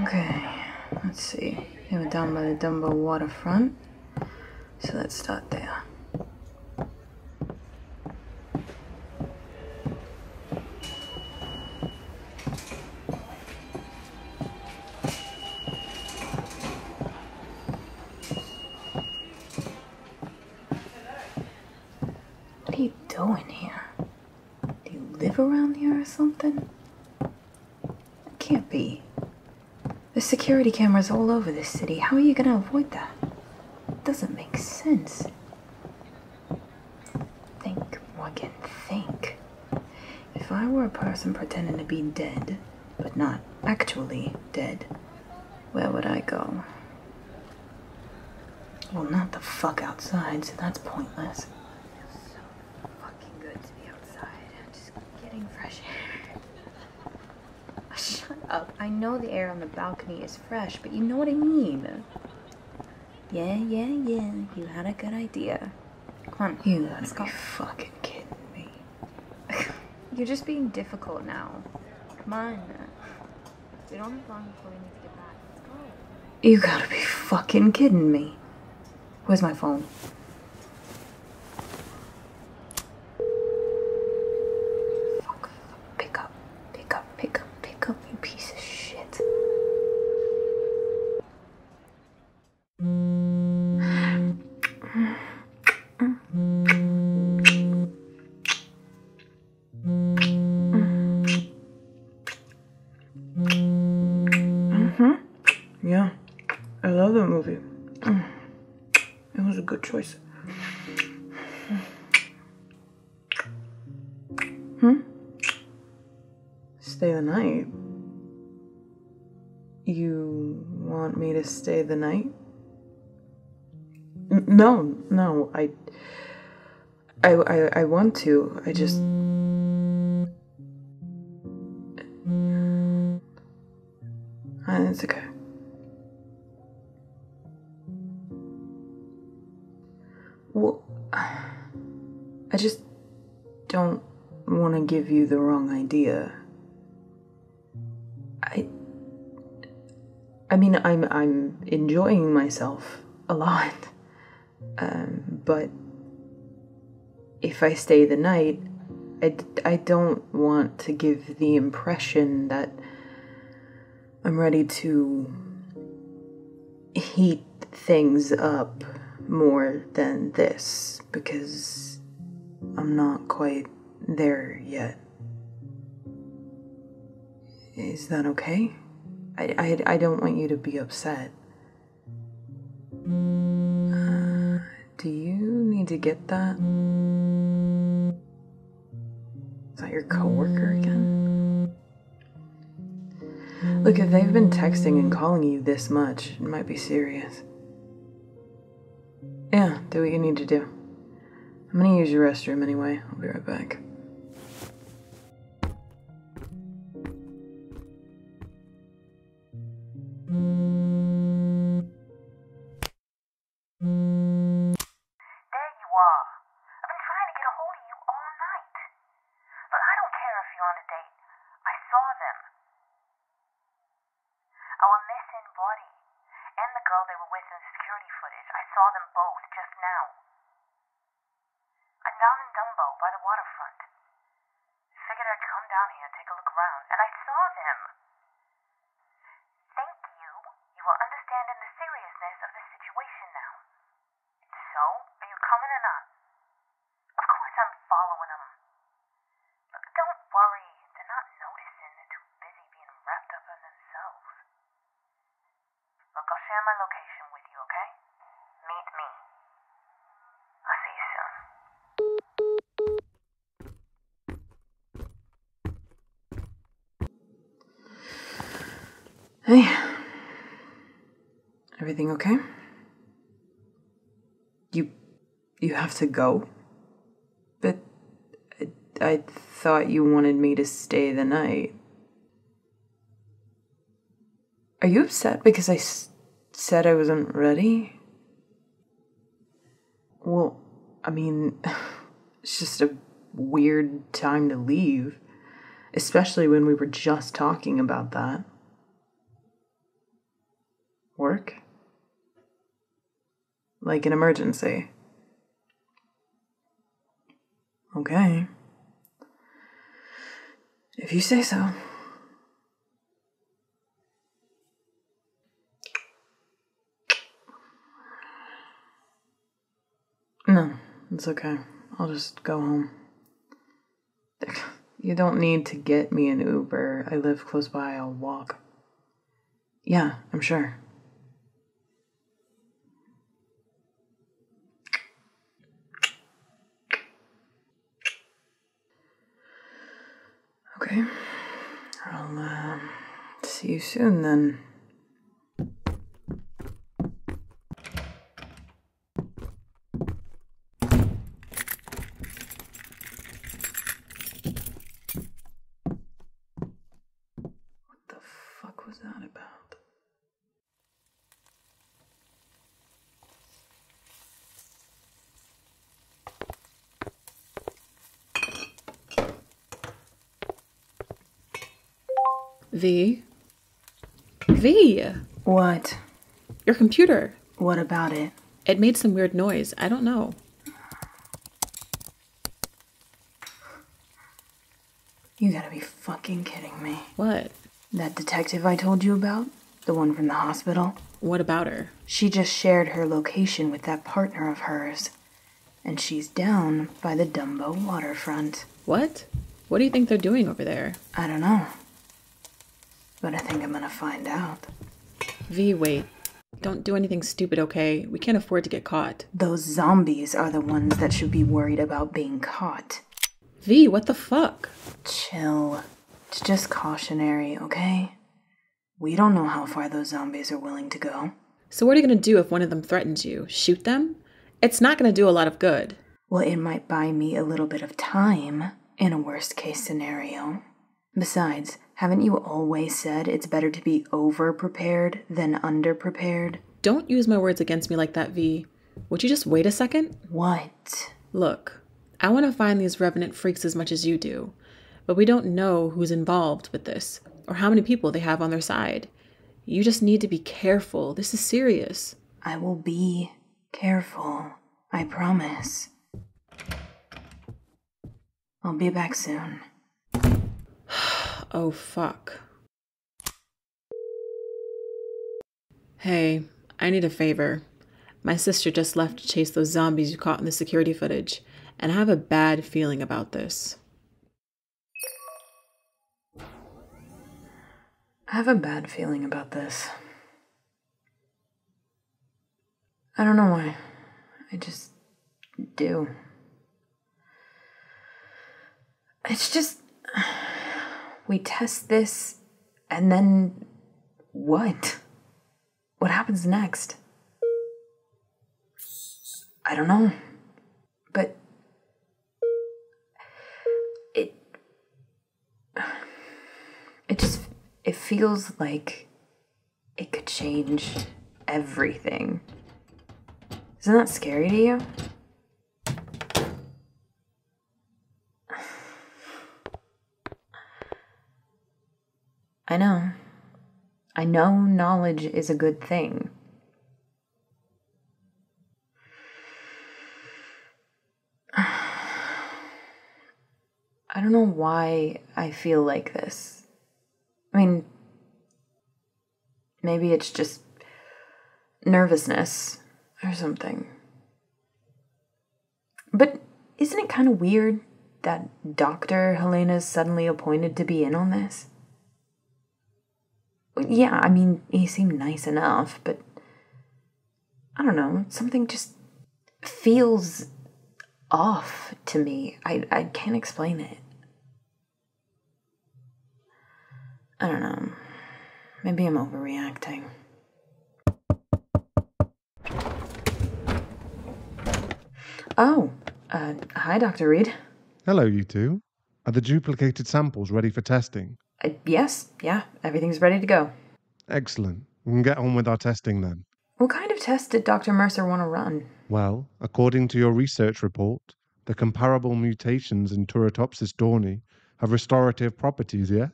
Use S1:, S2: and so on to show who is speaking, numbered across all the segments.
S1: Okay, let's see. We're down by the Dumbo waterfront. So let's start there. What are you doing here? Do you live around here or something? It can't be. The security cameras all over this city. How are you gonna avoid that? It doesn't make sense. Think, Morgan, think. If I were a person pretending to be dead, but not actually dead, where would I go? Well, oh, not the fuck outside, so that's pointless. It feels so fucking good to be outside. I'm just getting fresh air. Shut up. I know the air on the balcony is fresh, but you know what I mean. Yeah, yeah, yeah. You had a good idea. Come on. You gotta fucking kidding me. You're just being difficult now. Come on. We don't have long before we need to get back. Let's go. You gotta be fucking kidding me. Where's my phone? Pick up.
S2: Pick up. Pick up. Pick up, you piece of shit.
S1: Mm-hmm.
S2: Yeah. I love that movie. It was a good choice. Hmm? Stay the night? You want me to stay the night? No, no, I, I, I, want to. I just. Ah, it's okay. Well, I just don't want to give you the wrong idea. I I mean I'm I'm enjoying myself a lot. Um, but if I stay the night, I, I don't want to give the impression that I'm ready to heat things up more than this because I'm not quite there yet. Is that okay? I, I, I don't want you to be upset. Uh, do you need to get that? Is that your coworker again? Look, if they've been texting and calling you this much, it might be serious. Yeah, do what you need to do. I'm gonna use your restroom anyway. I'll be right back. There you you you're are. I've I been trying
S1: to get a a hold of all night. But don't care if on date. I saw them. Our missing body and the girl they were with in the security footage, I saw them both just now. I'm down in Dumbo by the waterfront. Figured I'd come down here and take a look around, and I saw them. Thank you. You are understanding the seriousness of the situation now. So, are you coming or not?
S2: Of course I'm following
S1: them. Look, don't worry. They're not noticing. They're too busy being wrapped up in themselves. Look, I'll share my location with you, okay? Meet me. I'll see
S2: you soon. Hey. Everything okay? You you have to go? But I, thought you wanted me to stay the night. Are you upset because I said I wasn't ready? Well, I mean, it's just a weird time to leave, especially when we were just talking about that. Work? Like an emergency. Okay. If you say so. No, it's okay. I'll just go home. You don't need to get me an Uber. I live close by. I'll walk. Yeah, I'm sure. Okay. I'll uh, see you soon then. What the fuck was that about? V.
S1: V. What? Your computer. What about it? It made some weird noise. I don't know.
S2: You gotta be fucking kidding me.
S1: What? That detective I told you about? The one from the hospital? What about her? She just shared her location with that partner of hers. And she's down by the Dumbo waterfront. What? What do you think they're doing over there? I don't know. But I think I'm gonna find out. V, wait. Don't do anything stupid, okay? We can't afford to get caught. Those zombies are the ones that should be worried about being caught.
S2: V, what the fuck? Chill. It's just cautionary, okay? We don't know how far those zombies are willing to go. So, what are you gonna do if one of them threatens
S1: you? Shoot them? It's not gonna do a lot of good. Well, it might buy me a little bit of time in a worst case scenario. Besides, haven't you always said it's better to be over prepared than under prepared? Don't use my words against me like that, V. Would you just wait a second? What? Look, I want to find these revenant freaks as much as you do, but we don't know who's involved with this or how many people they have on their side. You just need to be careful. This is serious. I will be careful. I promise.
S2: I'll be back soon. oh, fuck. Hey, I need a favor. My sister just left to chase those zombies you caught in the security footage, and I have a bad feeling about this. I have a bad feeling about this. I don't know why. I just do.
S1: It's just. We test this, and then what? What happens next? I don't know. But. It. It just. It feels like it could change everything. Isn't that scary to you? I know. I know knowledge is a good thing. I don't know why I feel like this. I mean, maybe it's just nervousness or something. But isn't it kind of weird that Dr. Helena's suddenly appointed to be in on this? Yeah, I mean, he seemed nice enough, but I don't know, something just feels off to me. I, I can't explain it. I don't know. Maybe I'm overreacting. Oh, uh, hi, Dr. Reed. Hello, you two. Are the duplicated samples ready for testing? Uh, yes, yeah, everything's ready to go. Excellent. We can get on with our testing then. What kind of test did Dr. Mercer want to run? Well, according to your research report, the comparable mutations in Turritopsis dorni have restorative properties, yes?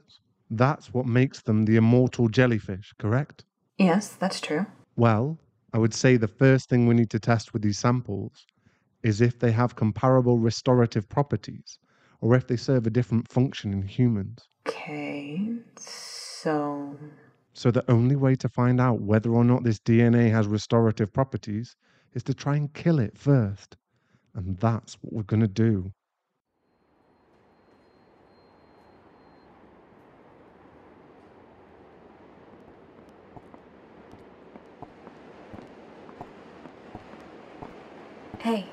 S1: That's what makes them the immortal jellyfish, correct? Yes, that's true. Well, I would say the first thing we need to test with these samples is if they have comparable restorative properties or if they serve a different function in humans.
S2: Okay, so
S1: so the only way to find out whether or not this DNA has restorative properties is to try and kill it first. And that's what we're going to do. Hey.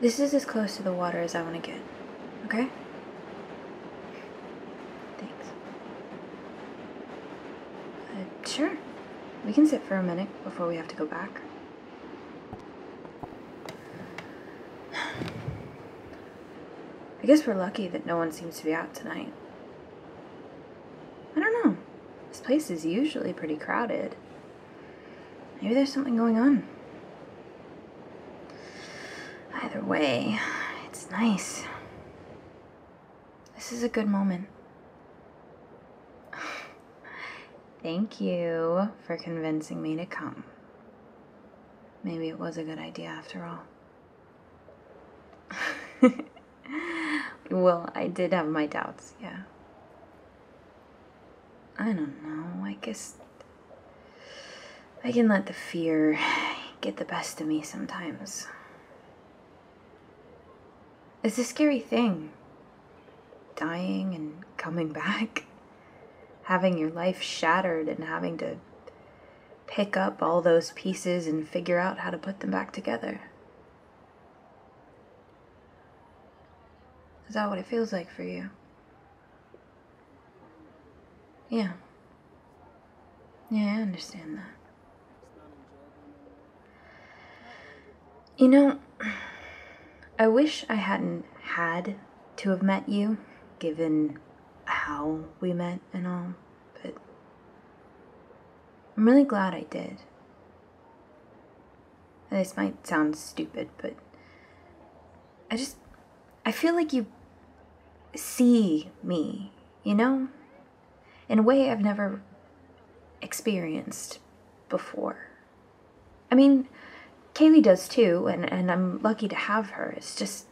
S1: This is as close to the water as I want to get, okay? Thanks. Uh, sure. We can sit for a minute before we have to go back. I guess we're lucky that no one seems to be out tonight. I don't know. This place is usually pretty crowded. Maybe there's something going on. Either way, it's nice. This is a good moment. Thank you for convincing me to come. Maybe it was a good idea after all. well, I did have my doubts, yeah. I don't know. I guess I can let the fear get the best of me sometimes. It's a scary thing. Dying and coming back. Having your life shattered and having to pick up all those pieces and figure out how to put them back together. Is that what it feels like for you? Yeah. Yeah, I understand that. You know, I wish I hadn't had to have met you, given how we met and all, but I'm really glad I did. This might sound stupid, but I just, I feel like you see me, you know? In a way I've never experienced before. I mean, Kaylee does too, and, and I'm lucky to have her. It's just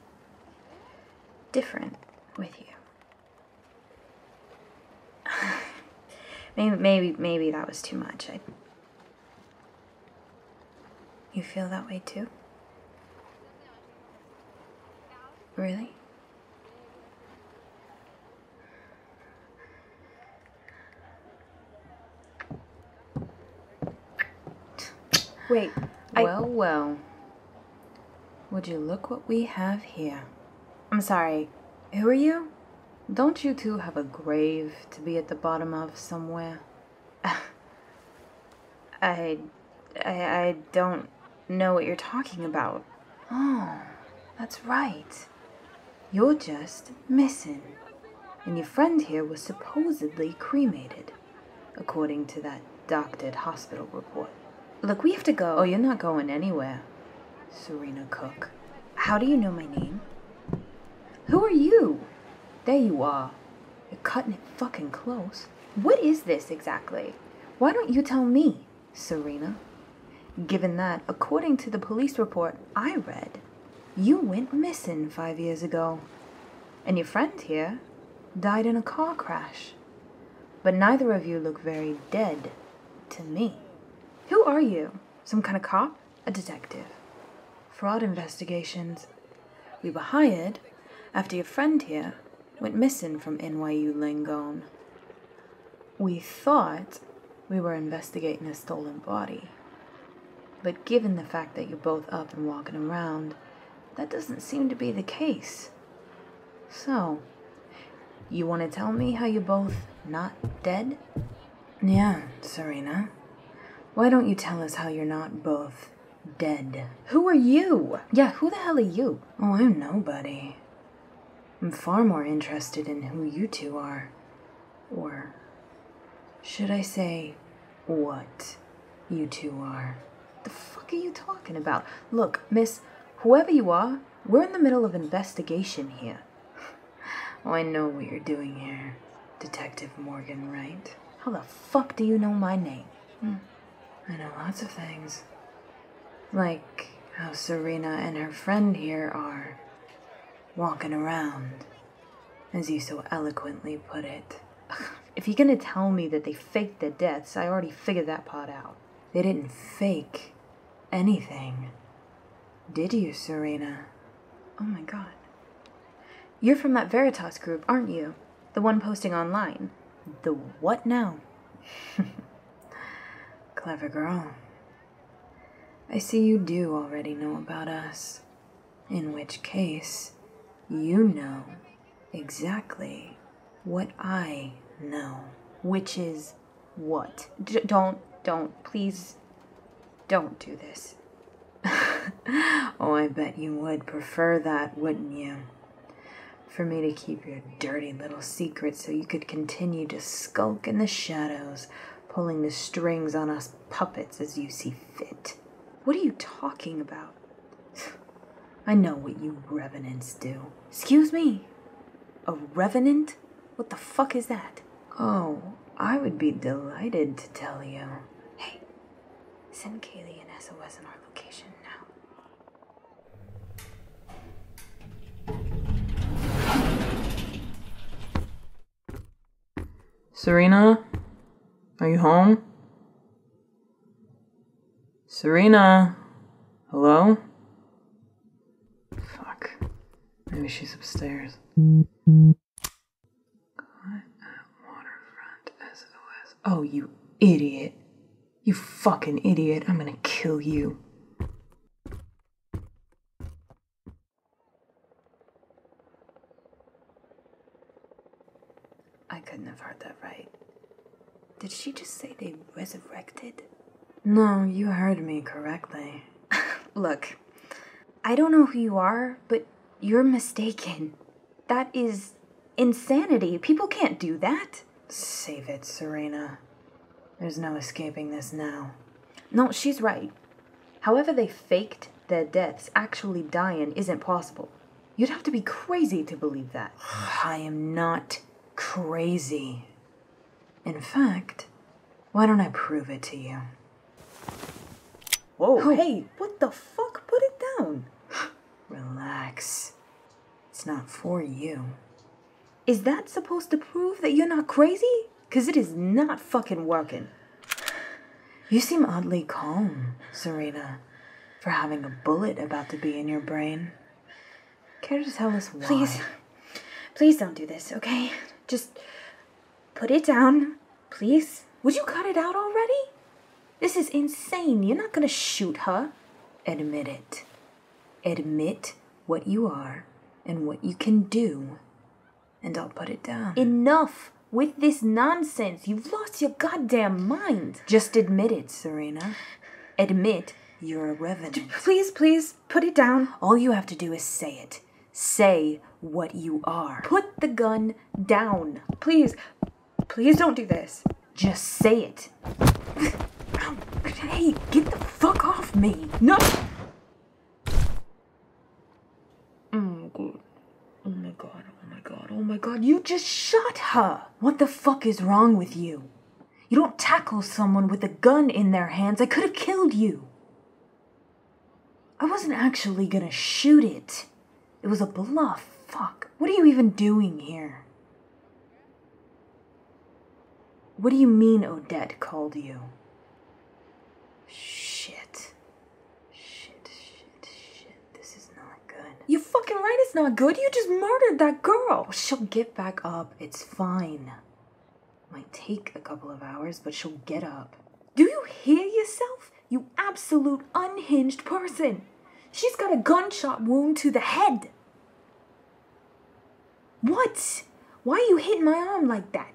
S1: different with you. maybe, maybe, maybe that was too much. I, you feel that way too? Really? Wait. Well, well. Would you look what we have here? I'm sorry. Who are you? Don't you two have a grave to be at the bottom of somewhere? I, I, I don't know what you're talking about. Oh, that's right. You're just missing. And your friend here was supposedly cremated, according to that doctored hospital report. Look, we have to go. Oh, you're not going anywhere, Serena Cook. How do you know my name? Who are you? There you are, you're cutting it fucking close. What is this exactly? Why don't you tell me, Serena? Given that, according to the police report I read, you went missing five years ago, and your friend here died in a car crash. But neither of you look very dead to me. Who are you? Some kind of cop? a detective, fraud investigations. We were hired after your friend here went missing from NYU Langone. We thought we were investigating a stolen body. But given the fact that you're both up and walking around, that doesn't seem to be the case. So, you want to tell me how you're both not dead? Yeah, Serena. Why don't you tell us how you're not both dead? Who are you? Yeah, who the hell are you? Oh, I'm nobody. I'm far more interested in who you two are. Or should I say, what you two are? The fuck are you talking about? Look, miss, whoever you are, we're in the middle of investigation here. oh, I know what you're doing here. Detective Morgan right? How the fuck do you know my name? Hmm. I know lots of things. Like how Serena and her friend here are walking around, as you so eloquently put it. if you're gonna tell me that they faked their deaths, I already figured that part out. They didn't fake anything. Did you, Serena? Oh my god. You're from that Veritas group, aren't you? The one posting online. The what now? Clever girl. I see you do already know about us. In which case, you know exactly what I know, which is what. don't, don't, please don't do this. oh, I bet you would prefer that, wouldn't you? For me to keep your dirty little secret so you could continue to skulk in the shadows, pulling the strings on us puppets as you see fit. What are you talking about? I know what you revenants do. Excuse me? A revenant? What the fuck is that? Oh, I would be delighted to tell you. Hey, Send Kaylee and SOS in our location now.
S2: Serena? Are you home? Serena? Hello? Fuck. Maybe she's upstairs. Oh, you idiot. You fucking idiot. I'm gonna kill you.
S1: I couldn't have heard that right. Did she just say they resurrected? No, you heard me correctly. Look, I don't know who you are, but you're mistaken. That is insanity. People can't do that. Save it, Serena. There's no escaping this now. No, she's right. However, they faked their deaths, actually dying isn't possible. You'd have to be crazy to believe that. I am not crazy. In fact, why don't I prove it to you? Whoa, oh. hey, what the fuck? Put it down. Relax. It's not for you. Is that supposed to prove that you're not crazy? Because it is not fucking working. You seem oddly calm, Serena, for having a bullet about to be in your brain. Care to tell us why? Please, please don't do this, okay? Just put it down Please? Would you cut it out already? This is insane. You're not going to shoot her. Admit it. Admit what you are and what you can do, and I'll put it down. Enough with this nonsense. You've lost your goddamn mind. Just admit it, Serena. Admit you're a revenant. Please, please, put it down. All you have to do is say it. Say what you are. Put the gun down. Please, please don't do this. Just say it. hey, get the fuck off me. No! Oh, Oh my god, oh my god, oh my god, you just shot her! What the fuck is wrong with you? You don't tackle someone with a gun in their hands. I could have killed you. I wasn't actually gonna shoot it. It was a bluff. Fuck. What are you even doing here? What do you mean Odette called you? Shit. Shit, shit, shit. This is not good. You fucking right it's not good. You just murdered that girl. She'll get back up. It's fine. Might take a couple of hours, but she'll get up. Do you hear yourself? You absolute unhinged person. She's got a gunshot wound to the head. What? Why are you hitting my arm like that?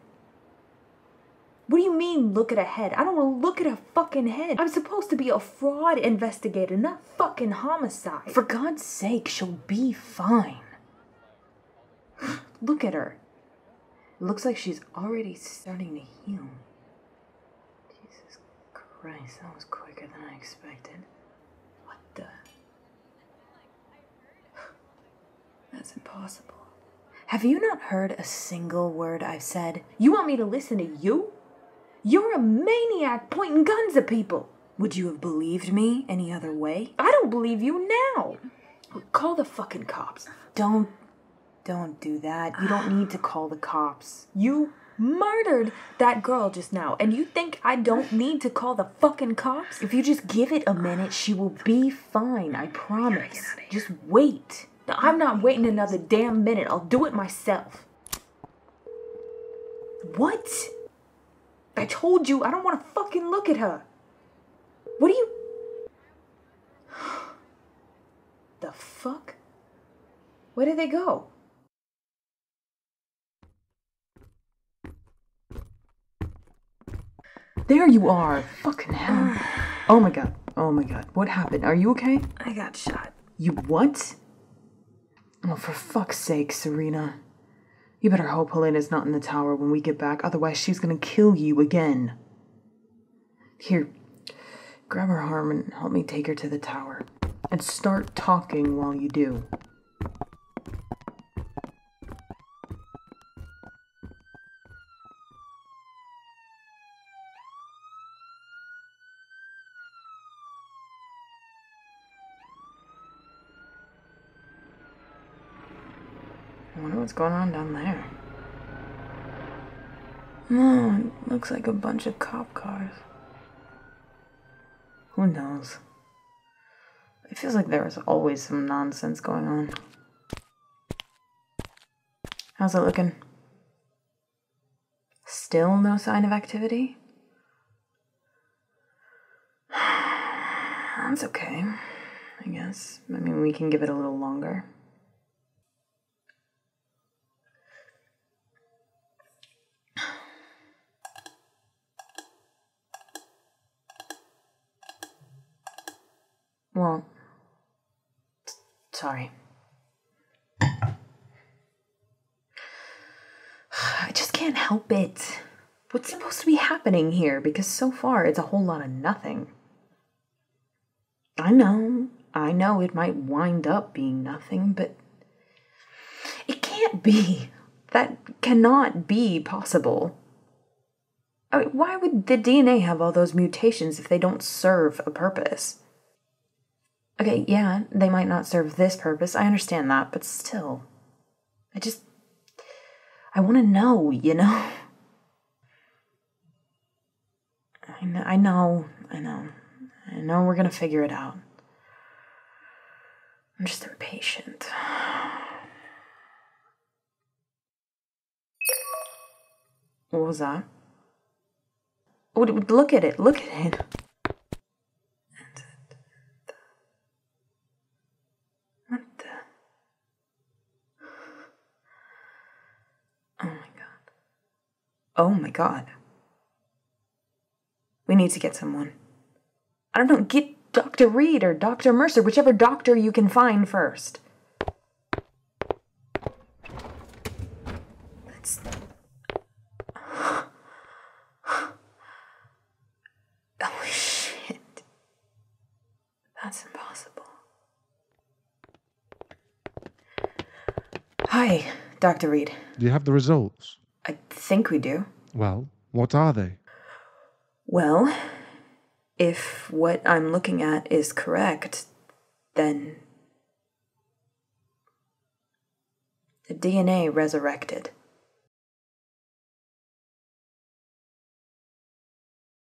S1: What do you mean look at her head? I don't want to look at her fucking head. I'm supposed to be a fraud investigator, not fucking homicide. For God's sake, she'll be fine. look at her. Looks like she's already starting
S2: to heal. Jesus Christ, that was quicker than I expected. What the?
S1: That's impossible. Have you not heard a single word I've said? You want me to listen to you? You're a maniac pointing guns at people! Would you have believed me any other way? I don't believe you now! Call the fucking cops. Don't don't do that. You don't need to call the cops. You murdered that girl just now, and you think I don't need to call the fucking cops? If you just give it a minute, she will be fine. I promise. Just wait. I'm not waiting another damn minute. I'll do it myself. What? I told you I don't want to fucking look at her. What are you. the fuck? Where did they go?
S2: There you are! Fucking hell. Oh my god. Oh my god. What happened? Are you okay? I got shot. You what? Well, oh, for fuck's sake, Serena. You better hope Helena's not in the tower when we get back, otherwise she's gonna kill you again. Here, grab her arm and help me take her to the tower. And start talking while you do. I wonder what's going on down there. oh, looks like a bunch of cop cars. Who knows? It feels like there is always some nonsense going on. How's it looking? Still no sign of activity? That's okay, I guess. I mean, we can give it a little longer. Well, sorry. I
S1: just can't help it. What's supposed to be happening here? Because so far it's a whole lot of nothing. I know, I know it might wind up being nothing, but it can't be. That cannot be possible. why would the DNA have all those mutations if they don't serve a purpose? Okay, yeah, they might not serve this purpose. I understand that, but still. I just. I want to know, you know? I know, I know, I know. we're gonna figure it out. I'm just impatient.
S2: What was that? Would look at it, look at it. What the? Oh my god. Oh my god. We need to get someone. I don't know, get
S1: Dr. Reed or Dr. Mercer, whichever doctor you can find first. That's. Oh, shit. That's impossible. Hi, Dr. Reed.
S2: Do you have the results?
S1: I think we do.
S2: Well, what are they?
S1: Well, if what I'm looking at is correct, then.
S2: The DNA resurrected.